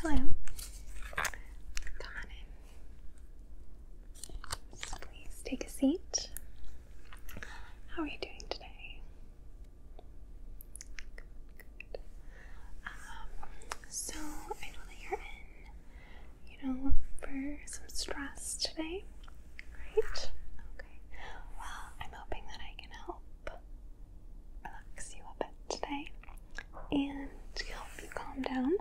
Hello. Come please take a seat. How are you doing today? Good. Um, so I know that you're in, you know, for some stress today, Great. Okay. Well, I'm hoping that I can help relax you a bit today and help you calm down.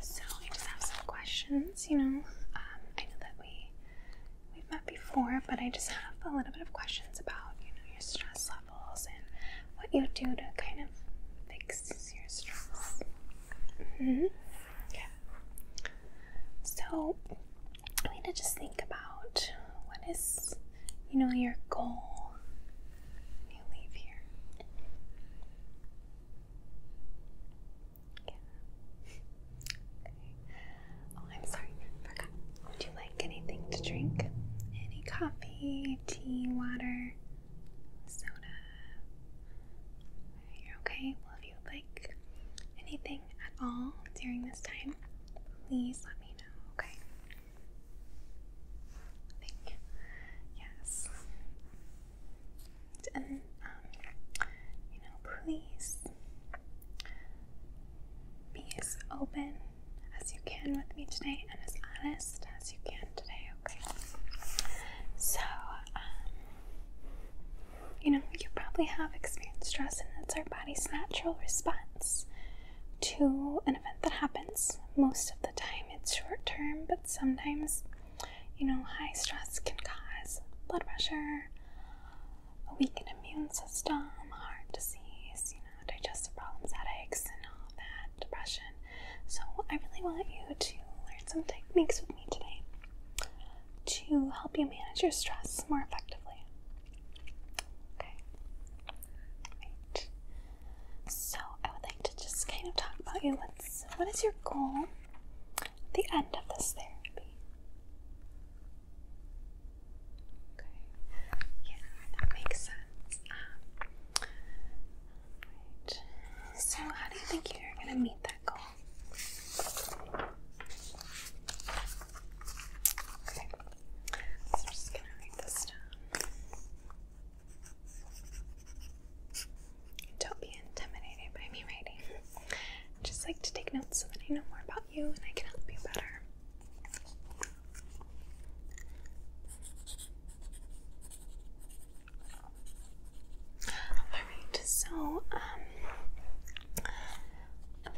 So I just have some questions. You know, um, I know that we we've met before, but I just have a little bit of questions about you know your stress levels and what you do to kind of fix your stress. Mm -hmm. Yeah. So I mean to just think about what is, you know, your goal you leave here. Yeah. Oh, I'm sorry, forgot. Would you like anything to drink? Any coffee, tea, water, soda? You're okay. Well, if you like anything at all during this time, please let me know, okay? Thank you. Yes. And, um, you know, please be as open as you can with me today and as honest as you can today, okay? So, um, you know, you probably have experienced stress, and it's our body's natural response to an event that happens. Most of the time, it's short term, but sometimes, you know, high stress can cause blood pressure, a weakened immune system, heart disease, you know, digestive problems, headaches, and all that, depression. So, I really want you to learn some techniques with me today to help you manage your stress more effectively. Okay. So I would like to just kind of talk about you. What's what is your goal the end of this therapy? Okay. Yeah, that makes sense. Um, right. So how do you think you're gonna meet that goal? Okay, I'm just gonna read this down. Don't be intimidated by me writing. just like to take notes so that I know more about you and I can help you better. Alright, so um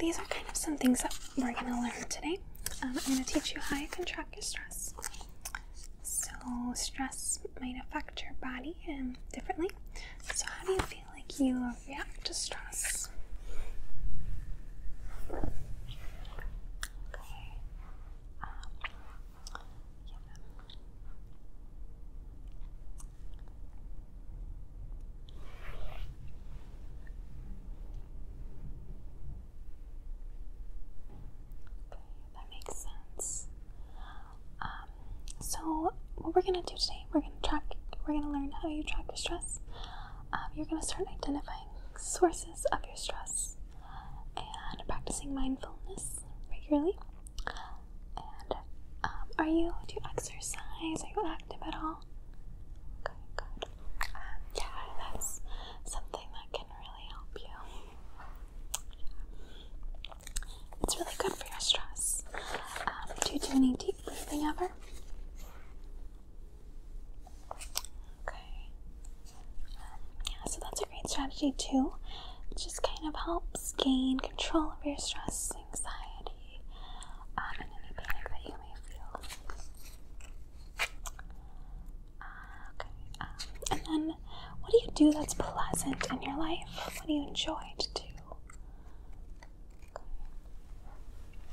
these are kind of some things that we're going to learn today. Um, I'm going to teach you how you can track your stress. So, stress might affect your body um, differently. So, how do you feel like you react to stress? Um, that makes sense. Um, so what we're gonna do today, we're gonna track. We're gonna learn how you track your stress. Um, you're gonna start identifying sources of your stress and practicing mindfulness regularly. And um, are you do you exercise? Are you active at all? Okay, good. yeah, that's something that can really help you. It's really good for your stress. Um, do you do any deep breathing ever? Okay. Um, yeah, so that's a great strategy too. just kind of helps gain control of your stress anxiety, um, and any panic that you may feel. Uh, okay. Um, and then, what do you do that's pleasant in your life? What do you enjoy to do?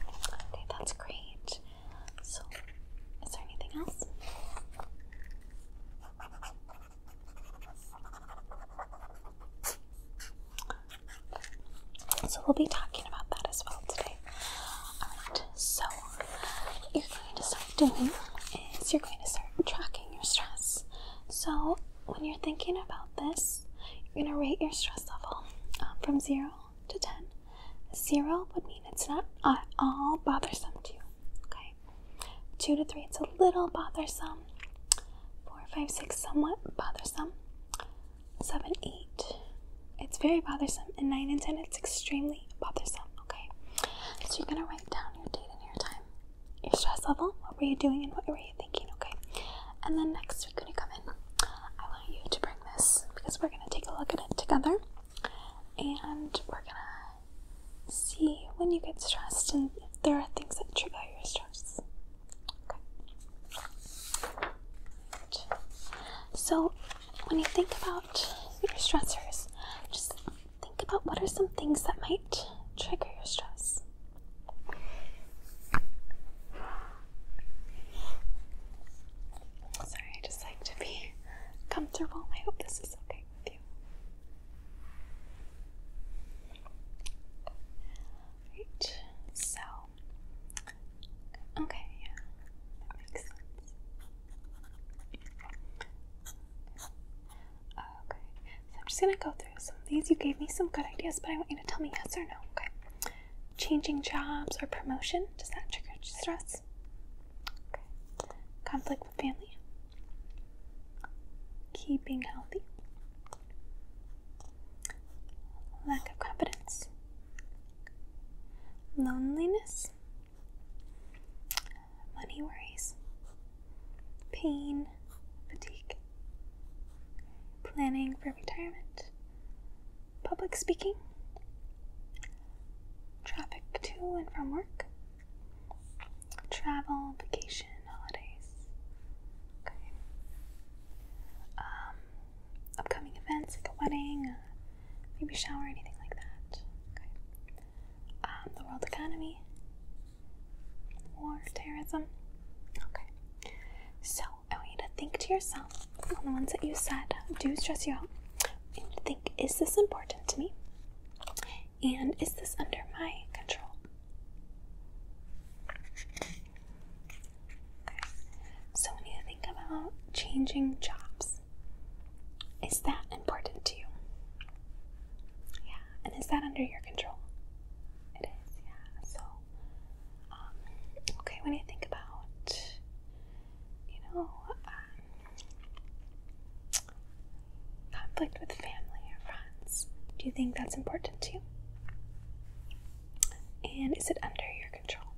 Okay, that's great. So, is there anything else? So we'll be talking about that as well today. so what you're going to start doing is you're going to start tracking your stress. So when you're thinking about this, you're going to rate your stress level um, from 0 to 10. 0 would mean it's not at all bothersome to you. Okay? 2 to 3, it's a little bothersome. 4, 5, 6, somewhat bothersome. 7, 8. It's very bothersome. And 9 and 10, it's extremely bothersome, okay? So you're gonna write down your date and your time, your stress level, what were you doing and what were you thinking, okay? And then next we're gonna come in, I want you to bring this because we're gonna take a look at it together and we're gonna see when you get stressed and if there are things that trigger your stress. So, when you think about your stressors, just think about what are some things that might trigger your stress. Sorry, I just like to be comfortable. I hope this is okay with you. Right, so Okay, yeah, that makes sense. okay, so I'm just gonna go through some of these. You gave me some good ideas, but I want you to tell me yes or no. Okay. Changing jobs or promotion, does that trigger stress? Okay. Conflict with family? Keeping healthy? lack of confidence, loneliness, money worries, pain, fatigue, planning for retirement, public speaking, traffic to and from work, travel, vacation, holidays. Um, upcoming events like a wedding, a baby shower, anything like that. Um, the world economy, war, terrorism. Okay. So I want you to think to yourself on the ones that you said do stress you out, think: Is this important to me? And is this under my control? So, when you think about changing jobs, is that important to you? Yeah, and is that under your control? It is, yeah. So, um, okay, when you think about, you know, um, conflict with family or friends, do you think that's important to you? And is it under your control?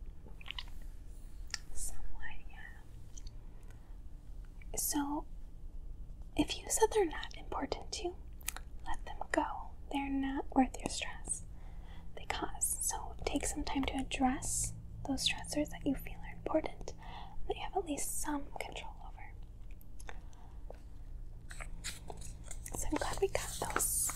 Somewhat, yeah. So, if you said they're not important to you, let them go. They're not worth your stress they cause. So, take some time to address those stressors that you feel are important, that you have at least some control over. So I'm glad we got those.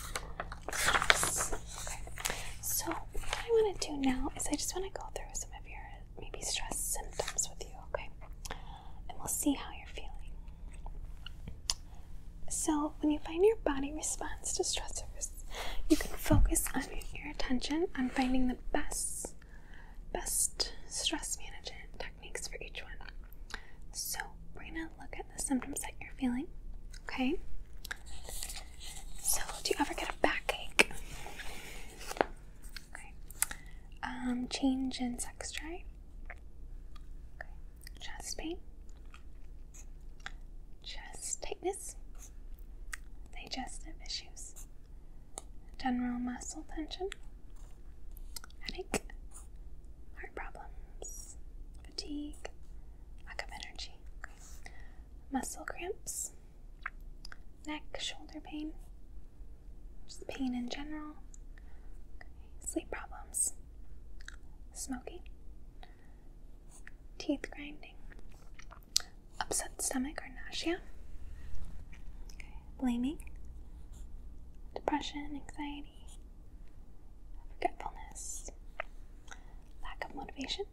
So what I want to do now is I just want to go through some of your maybe stress symptoms with you, okay? And we'll see how you're feeling. So when you find your body responds to stressors, you can focus on your attention on finding the best best stress management techniques for each one. So, we're gonna look at the symptoms that you're feeling, okay? So, do you ever get a backache? Okay. Um, change in sex drive? Chest pain? Chest tightness? Digestive issues? General muscle tension? headache, heart problems, fatigue, lack of energy, muscle cramps, neck, shoulder pain, just pain in general, sleep problems, smoking, teeth grinding, upset stomach or nausea, blaming, depression, anxiety, forgetfulness, lack of motivation,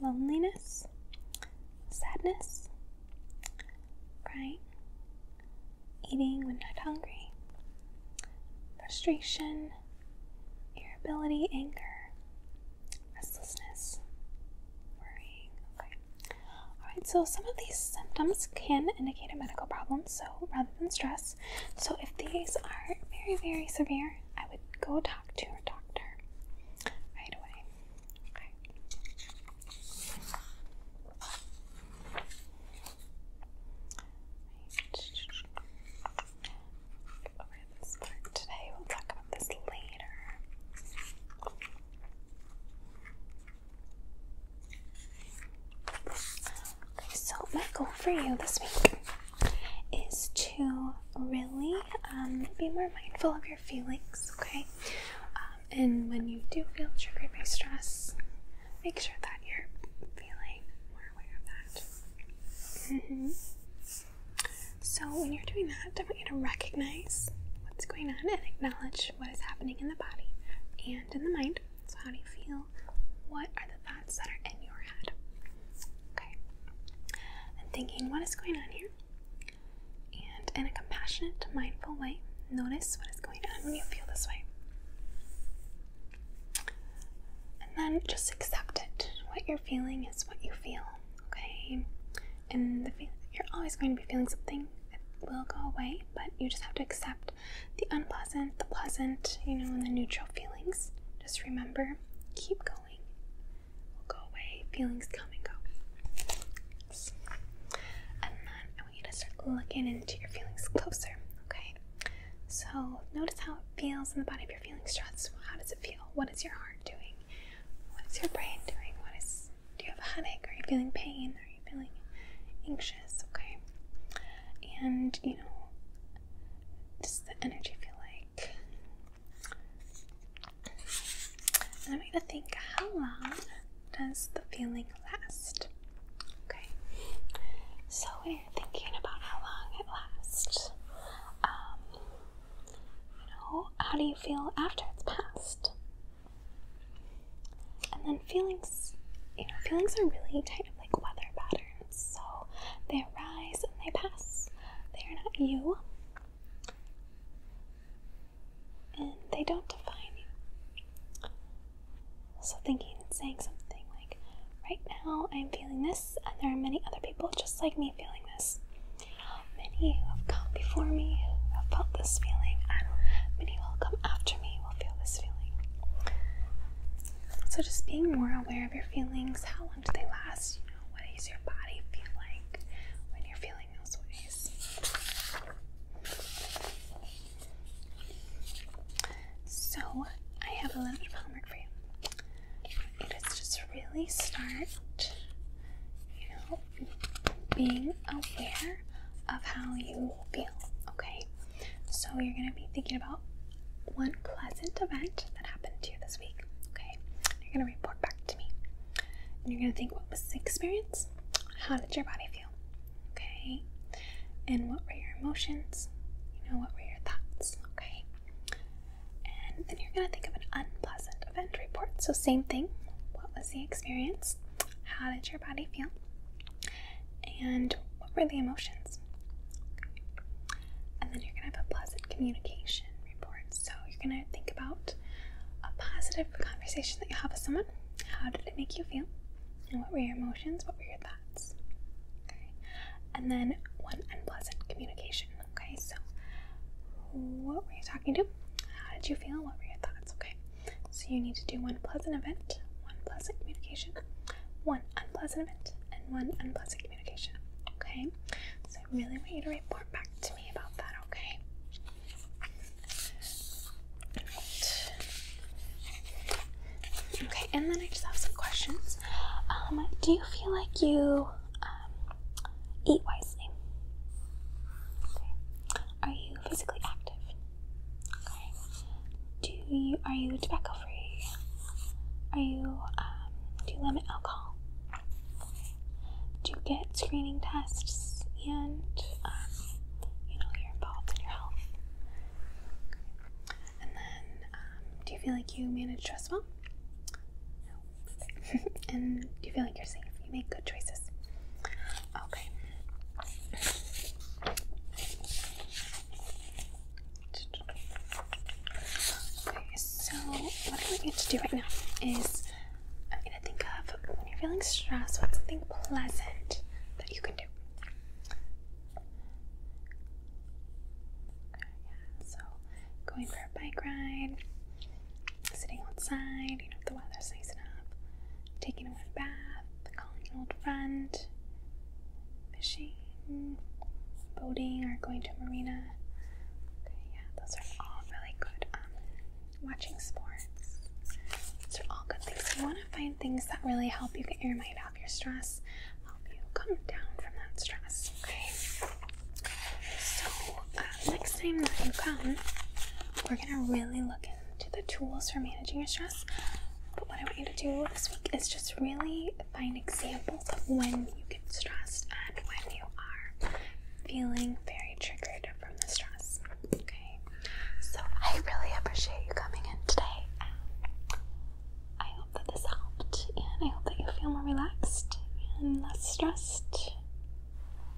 loneliness, sadness, crying, eating when not hungry, frustration, irritability, anger, restlessness, worrying. Okay. Alright, so some of these symptoms can indicate a medical problem, so rather than stress. So if these are very, very severe, I would go talk to your doctor right away. Okay. Over this part today. We'll talk about this later so my goal for you this week is to really um, be more mindful of your feelings, okay? Um, and when you do feel triggered by stress, make sure that you're feeling more aware of that. -hmm. So when you're doing that, I want you to recognize what's going on and acknowledge what is happening in the body and in the mind. So, how do you feel? What are the thoughts that are in your head? Okay. I'm thinking, what is going on here? And in a compassionate, mindful way, notice what is going on when you feel this way. And then just accept it. What you're feeling is what you feel, okay? And you're always going to be feeling something It will go away, but you just have to accept the unpleasant, the pleasant, you know, and the neutral feelings. Just remember, keep going. will go away. Feelings come and go. And then I want you to start looking into your feelings closer. Okay. So notice how it feels in the body if you're feeling stressed. How does it feel? What is your heart doing? What is your brain doing? What is do you have a headache? Are you feeling pain? you're feeling anxious, okay? And, you know, does the energy feel like? And I'm going to think how long does the feeling last? Okay, so when you are thinking about how long it lasts. Um, you know, how do you feel after it's passed? And then feelings, you know, feelings are really kind of like weather patterns. So they arise and they pass. They are not you. And they don't define you. So thinking and saying something like, right now I'm feeling this, and there are many other people just like me feeling this. Many have come before me who have felt this feeling, and many will come after me so, just being more aware of your feelings how long do they last? You know, what does your body feel like when you're feeling those ways? So, I have a little bit of homework for you. just really start, you know, being aware of how you feel, okay? So you're going to be thinking about one pleasant event that happened to you this week. Okay. You're going to report back to me. you're going to think what was the experience? How did your body feel? Okay. And what were your emotions? You know, what were your thoughts? Okay. And then you're going to think of an unpleasant event report. So, same thing. What was the experience? How did your body feel? and what were the emotions? And then you're going to have a pleasant communication report. So you're going to think about a positive conversation that you have with someone. How did it make you feel? And what were your emotions? What were your thoughts? Okay. And then one unpleasant communication. Okay. So what were you talking to? How did you feel? What were your thoughts? Okay. So you need to do one pleasant event, one pleasant communication, one unpleasant event, and one unpleasant communication. Okay? So I really want you to report back to me about that, okay? Okay, and then I just have some questions. Um, do you feel like you um, eat wisely? Are you physically active? Okay. Do you are you tobacco free? Are you um, do you limit alcohol? Do you get screening tests and um, you know you're involved in your health? And then um, do you feel like you manage stress well? No. and do you feel like you're safe? You make good choices. Okay. so what I want you to do right now is I'm going to think of when you're feeling stressed, what's something pleasant that you can do? so going for a bike ride, sitting outside, you know, if the weather's nice enough, taking a bath, calling an old friend, fishing, boating, or going to a marina. yeah, those are all really good. Um, watching sports. Those are all good things. You want to find things that really help you get your mind off your stress, help you come down from that stress. Okay. So uh, next time that you come, we're gonna really look to the tools for managing your stress. But what I want you to do this week is just really find examples of when you get stressed and when you are feeling very triggered from the stress. Okay, so I really appreciate you coming in today. Um, I hope that this helped, and I hope that you feel more relaxed and less stressed.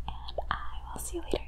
And I will see you later.